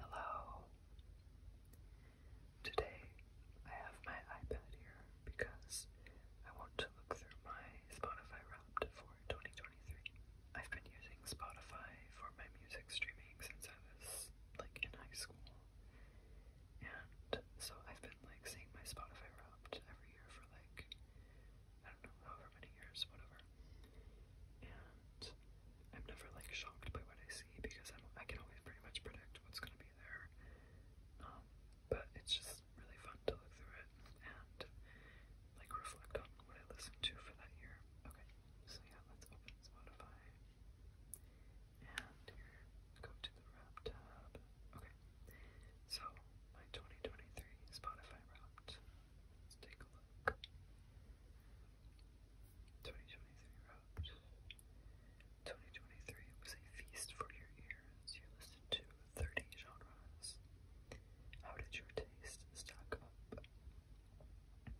Hello. Today I have my iPad here because I want to look through my Spotify Wrapped for 2023. I've been using Spotify for my music streaming since I was like in high school. And so I've been like seeing my Spotify Wrapped every year for like I don't know, however many years, whatever. I'm never like shocked by what I see because I'm, I can always pretty much predict what's going to be there. Um, but it's just really fun to look through it and like reflect on what I listened to for that year. Okay, so yeah, let's open Spotify and go to the wrap tab. Okay, so my 2023 Spotify wrapped. Let's take a look. 2023 wrote, 2023 was a feast for your ears. You listened to 30 genres. How did your taste stack up? I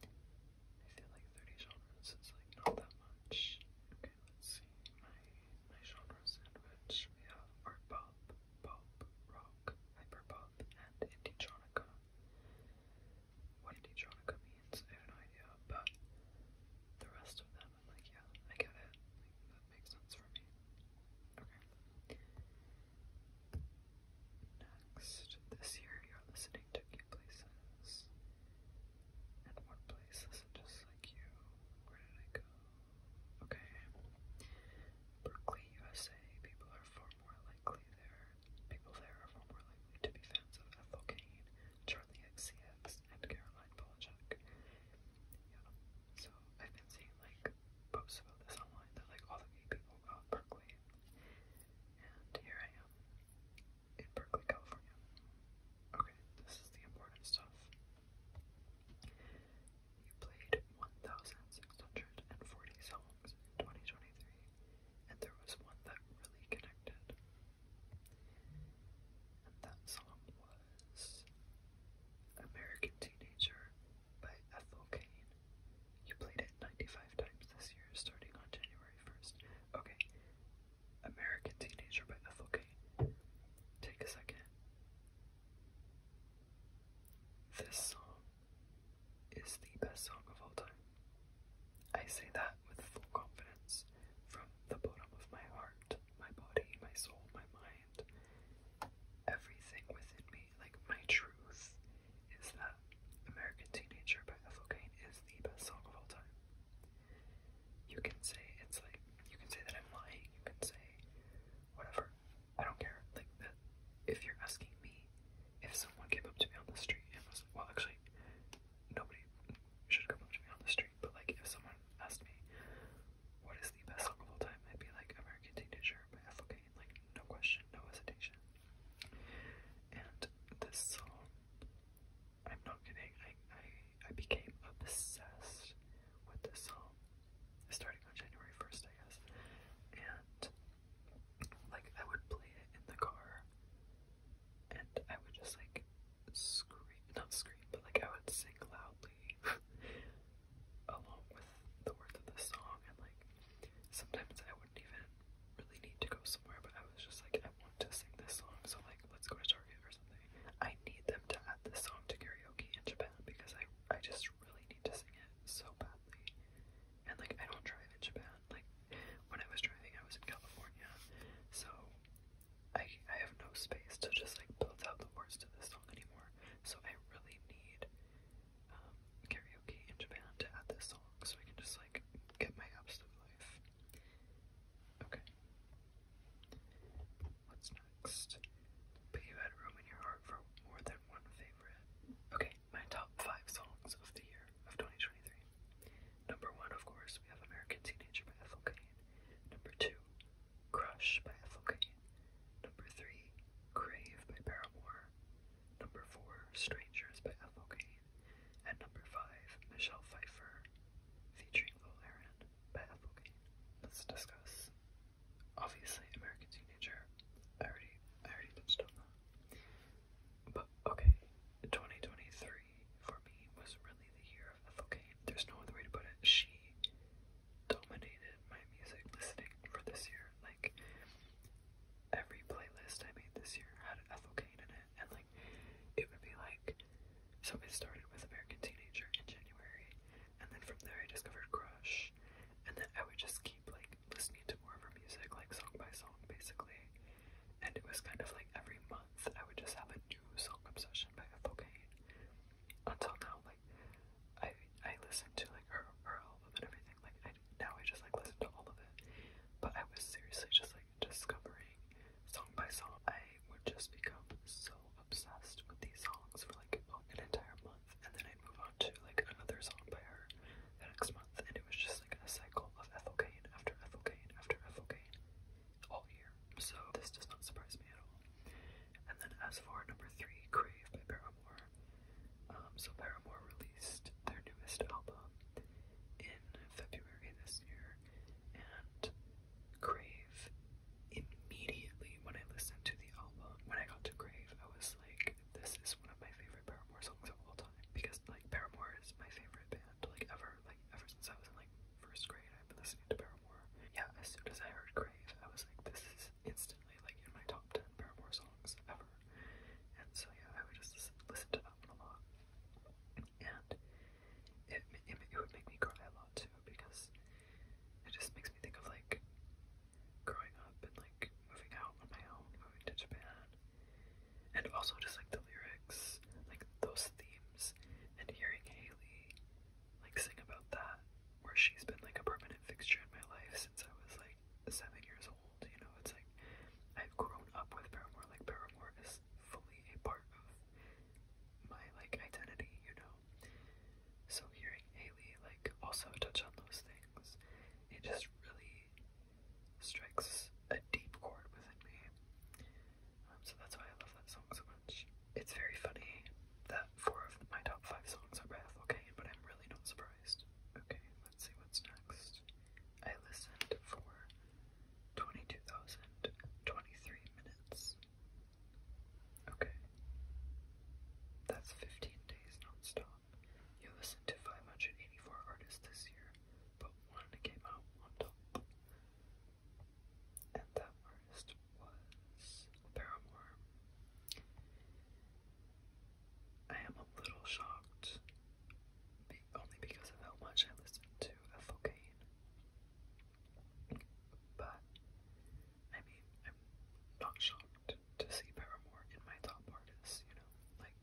feel like 30 genres is like not that much. Okay, let's see. My my genre sandwich. We have art pop, pop, rock, hyper pop and Inditronica. What Inditronica means, no idea, but the rest of them, I'm like, yeah, I get it. that makes sense for me. Okay. Next, this year you're listening to key Places. And one place is just like you. Where did I go? Okay. Berkeley, USA. People are far more likely there People there are more likely to be fans of Ethel Kane, Charlie XCX, and Caroline Polachek. Yeah, so I've been seeing like posts about this online that like all the gay people got Berkeley, and here I am in Berkeley, California. Okay, this is the important stuff. You played 1,640 songs in 2023, and there was one that really connected. And that song was American Teenager by Ethel Kane. You played it 95 times this year, starting on January 1st. Okay, American Teenager by Ethel Kane. Take a second. This song is the best song of all time. I say that with full confidence from the bottom of my heart, my body, my soul, my mind. Everything within me, like my truth, is that American Teenager by Ethelkane is the best song of all time. You can say it's like, you can say that I'm lying, you can say whatever, I don't care. Like that. If you're asking me, if someone came up to me on the street and was like, well, actually, nobody should come up to me on the street. But like, if someone asked me, what is the best song of all time? I'd be like, American Teenager by F.O.K. Like, no question, no hesitation. And this song, I'm not kidding. I I, I became obsessed with this song starting on January 1st, I guess. And like I would play it in the car and I would just like scream not scream, but like I would sing loudly along with the words of the song and like sometimes I wouldn't even really need to go somewhere but I was just like I want to sing this song so like let's go to Target or something. I need them to add this song to karaoke in Japan because I I just really need need it so badly. And like I don't drive in Japan. Like when I was driving, I was in California, so I I have no space to just like build out the words to this song anymore. So I really need um, karaoke in Japan to add this song, so I can just like get my absolute life. Okay. What's next? But you had room in your heart for more than one favorite. Okay, my top five songs of the year of 2023. Number one, of course, we have American Teenager by Ethel Kane. Number two, Crush by Ethel Kane. Number three, Crave by Paramore. Number four, Strangers by Ethel Kane. And number five, Michelle Pfeiffer featuring Lil Aaron by Ethel Kane. Let's discuss Obviously, American Teenager. I already, I already touched on that. But okay, 2023 for me was really the year of Ethelkane. There's no other way to put it. She dominated my music listening for this year. Like every playlist I made this year had Ethel Ethelkane in it, and like it would be like. So it started with American Teenager in January, and then from there I discovered Crush, and then I would just keep like listening to more of her music, like song by song, basically. And it was kind of like every month I would just have a new song obsession by Ethel Kane. Until now, like I I listened to like her her album and everything. Like I now I just like listen to all of it. But I was seriously just like discovering song by song. I would just become so obsessed with these songs for like an entire month and then i move on to like another song by her next month, and it was just like a cycle of ethylcane after ethylcane after ethylcane all year. So this does not surprise me at all. And then as for number three, Crave by Paramore. Um, so Paramore released their newest album in February this year, and Crave Grave, immediately when I listened to the album, when I got to Grave, I was like, this is one of my favorite Paramore songs of all time because like Paramore is my favorite band like ever. Like ever since I was in like first grade, I've been listening to Paramore. Yeah, as soon as I heard Grave, I was like, this is instantly like in my top ten Paramore songs ever. And so yeah, I would just listen, listen to that one a lot, and it, it it would make me cry a lot too because it just makes me think of like growing up and like moving out on my own, moving to Japan. And also just like the lyrics, like those themes, and hearing Haley like sing about that, where she's been like a permanent fixture in my life since I was like seven years old. You know, it's like I've grown up with Paramore. Like Paramore is fully a part of my like identity. You know, so hearing Haley like also touch on those things, it just really strikes a deep chord within me. Um, so that's why I love that song so much. It's very funny that four of my top five songs are by okay, but I'm really not surprised. Okay, let's see what's next. I listened for 22,023 minutes. Okay. That's 15 days non You listened to 584 artists this year, but one came out on top. And that artist was Paramore. I am a little shocked, only because of how much I listened to F.O.K. But I mean, I'm not shocked to see Paramore in my top artists, you know? Like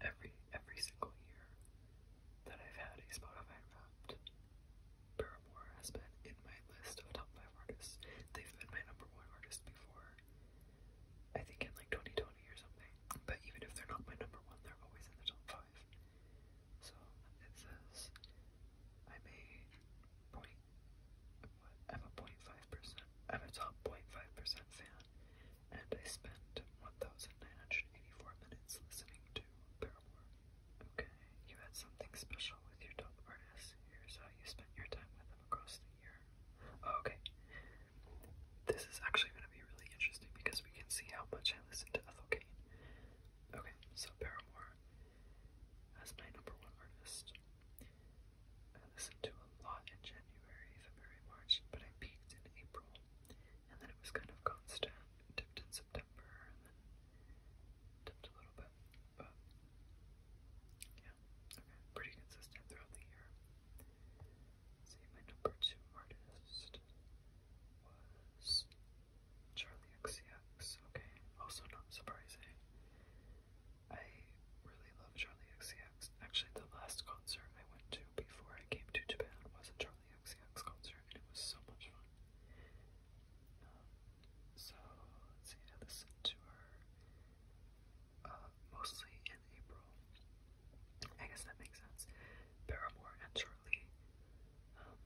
every every single year that I've had a Spotify wrapped, Paramore has been in my list of top five artists. They've been my number one artist before. I think in like 2020 or something. But even if they're not my number one, they're always in the top five. So it says I'm a point. I'm a 0.5%. I'm a top 0.5% fan, and I spent 1,984 minutes listening to Paramore. Okay, you had something special with your top artists. Here's how you spent your time with them across the year. Oh, okay, this is actually going to be really interesting because we can see how much I listened to Ethel Kane. Okay, so Paramore as my number one artist. I listened to a lot in January, February, March, but I peaked in April, and then it was kind of constant. Dipped in September, and then dipped a little bit, but yeah, okay, pretty consistent throughout the year. let my number two artist was Charlie XCX, okay, also not surprising. I really love Charlie XCX. Actually, the last concert I went to before I came to Japan was a Charlie XCX concert, and it was so much fun. Um, so, let's see, I uh, mostly in April. I guess that makes sense. Paramore and Charlie um,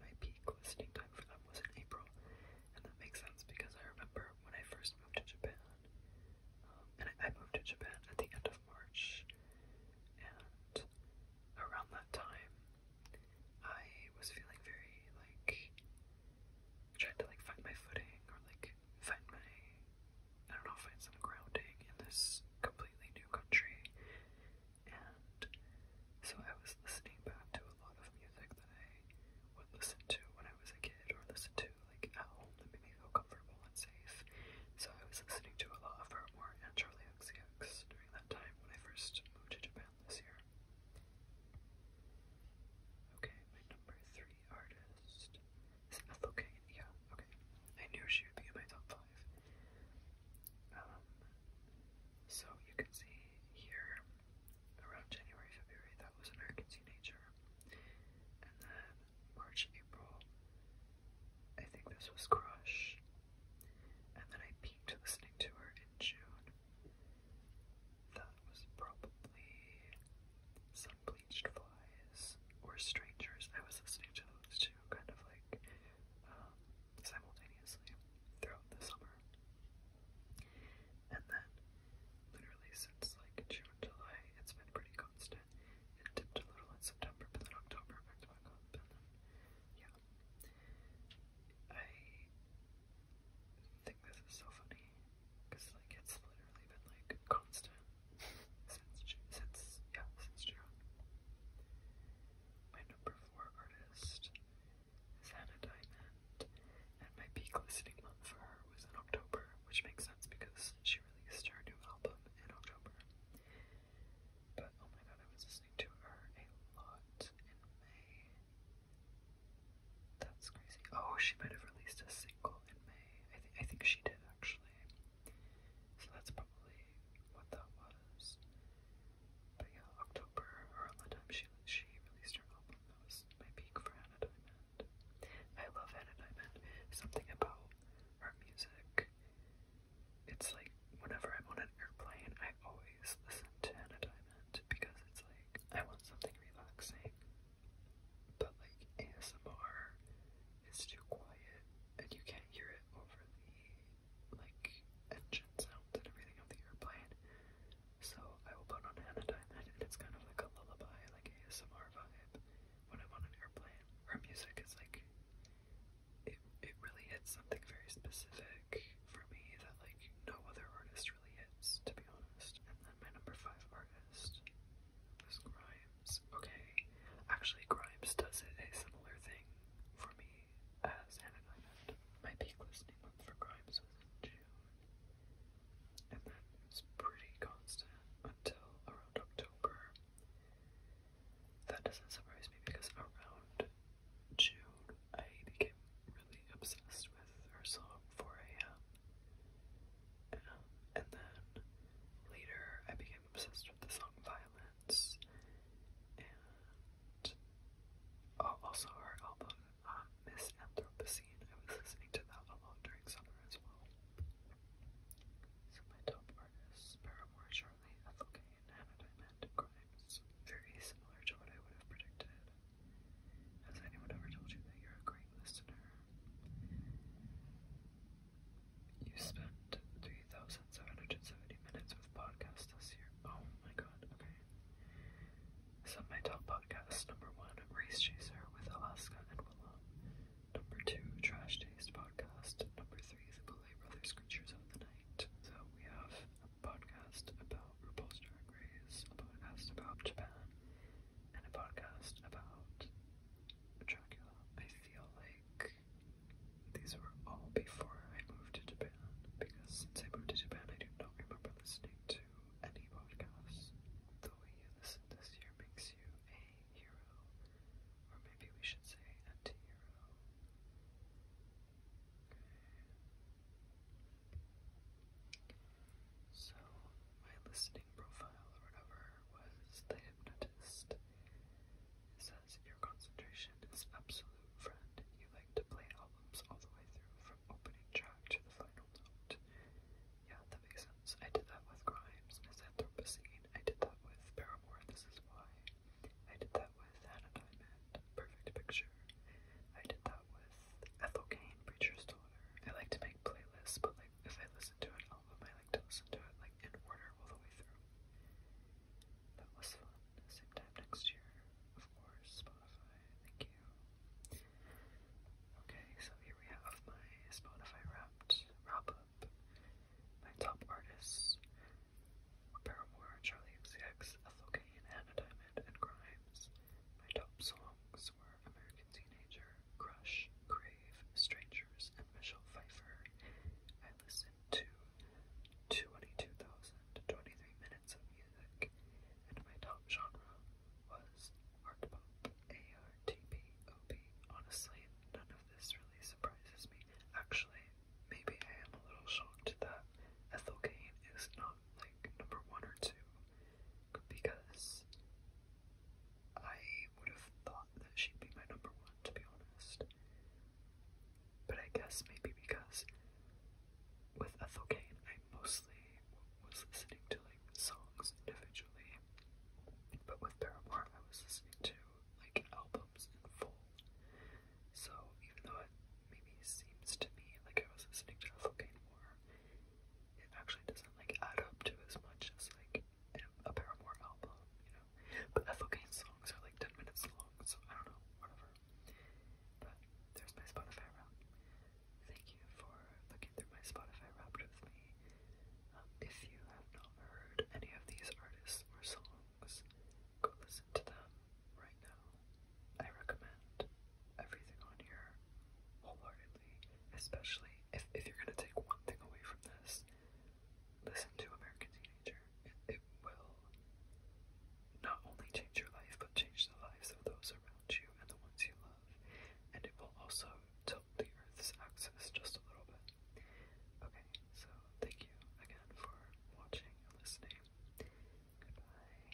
my peak listening time for them was in April, and that makes sense because I remember when I first moved to Japan, um, and I moved to Japan at the end of March, and around that time, I was feeling very like trying to like find my footing or like find my I don't know find some grounding in this completely new country, and so I was listening back to a lot of music that I would listen to when I was a kid or listen to like at home that made me feel comfortable and safe. So I was listening to a lot of Paramore and Charlie XCX during that time when I first moved to Japan this year. Okay, my number three artist is Ethel Kane. Yeah, okay. I knew she would be in my top five so you can see here around January, February, that was American Teenager. And then March, April, I think this was Crush. And then I peaked listening to her in June. That was probably Some Bleached Flies or Strangers. I was listening to those two kind of like um, simultaneously throughout the summer. And then, literally since like June, July, it's been pretty constant. It dipped a little in September, but then October back up, and then, yeah. I think this is so funny, because like it's literally been like constant since, since, yeah, since June number four artist is Hannah Diamond, and my peak listening month for her was in October, which makes sense because she released her new album in October. But oh my god, I was listening to her a lot in May. That's crazy. Oh, she might have released a single in May. I think I think she did actually. So that's probably what that was. But yeah, October, around the time she she released her album, that my peak for Hannah Diamond. I love Hannah Diamond. Something about her music. It's like whenever I'm on an airplane, I always listen to Anna Diamond because it's like I want something relaxing. But like ASMR is too quiet and you can't hear it over the like engine sounds and everything of the airplane. So I will put on Anodyne then, and it's kind of like a lullaby, like ASMR vibe when I'm on an airplane. Her music is like it. It really hits something very specific for me that like no other artist really hits, to be honest. And then my number five artist was Grime. Okay. Actually, Grimes does a similar thing for me as Hannah Diamond. My peak listening month for Grimes was in June. And then it pretty constant until around October. That doesn't surprise me because around June I became really obsessed with her song 4 a.m. Um, and then later I became obsessed with the song 5 and oh, also her album uh, Miss Anthropocene. I was listening to that a lot during summer as well. So my top artists: Paramore, Charlie, Ethelkane, Hannah Diamond, Grimes. Very similar to what I would have predicted. Has anyone ever told you that you're a great listener? You spent 3,770 minutes with podcasts this year. Oh my god, okay. So, my top podcast number one, Race Chaser with Alaska and Willem. Number two, Trash Taste Podcast. Number three, The Boulay Brothers Creatures of the Night. So, we have a podcast about RuPaul's Drag Race, a podcast about Japan, and a podcast about Dracula. I feel like these were all before I moved to Japan, because since I moved to Japan, I do not remember listening to any podcasts. The way you listen this year makes you a hero, or maybe we should say anti-hero. So, my listening profile or whatever was The says your concentration is absolute, friend. You like to play albums all the way through from opening track to the final note. Yeah, that makes sense. I did that with Grimes, as Anthropocene. I did that with Paramore, This Is Why. I did that with Hannah Perfect Picture. I did that with Ethel Kane, Preacher's Daughter. I like to make playlists, but like if I listen to an album, I to listen to it like in order all the way through. That was fun. Same time next year, of course. Spotify, thank you. Okay, so here we have my Spotify wrapped wrap up. My top artists: Paramore, Charlie XCX, Ethel Kane, Hannah Diamond, and Grimes. My top songs were American Teenager, Crush, Creep. Strangers and Michelle Pfeiffer. I listened to 22,023 minutes of music, and my top genre was art pop. ARTPOP. Honestly, none of this really surprises me. Actually, maybe I am a little shocked that Ethel Kane is not like number one or two because I would have thought that she'd be my number one, to be honest. But I guess maybe because with Ethel Ethylcane, I mostly was listening to like songs individually, but with Paramore, I was listening to like albums in full. So even though it maybe seems to me like I was listening to Ethel Ethylcane more, it actually doesn't like add up to as much as like a Paramore album, you know. But Ethelgain's songs are like 10 minutes long, so I don't know, whatever. But there's my Spotify wrap. Thank you for looking through my Spotify wrapped with me. Um, if you have not heard any of these artists or songs, go to them right now. I recommend everything on here wholeheartedly especially if, if you're going to take one thing away from this, listen to American Teenager. it will not only change your life, but change the lives of those around you and the ones you love. And it will also tilt the Earth's axis just a little bit. Okay, so thank you again for watching and listening. Goodbye.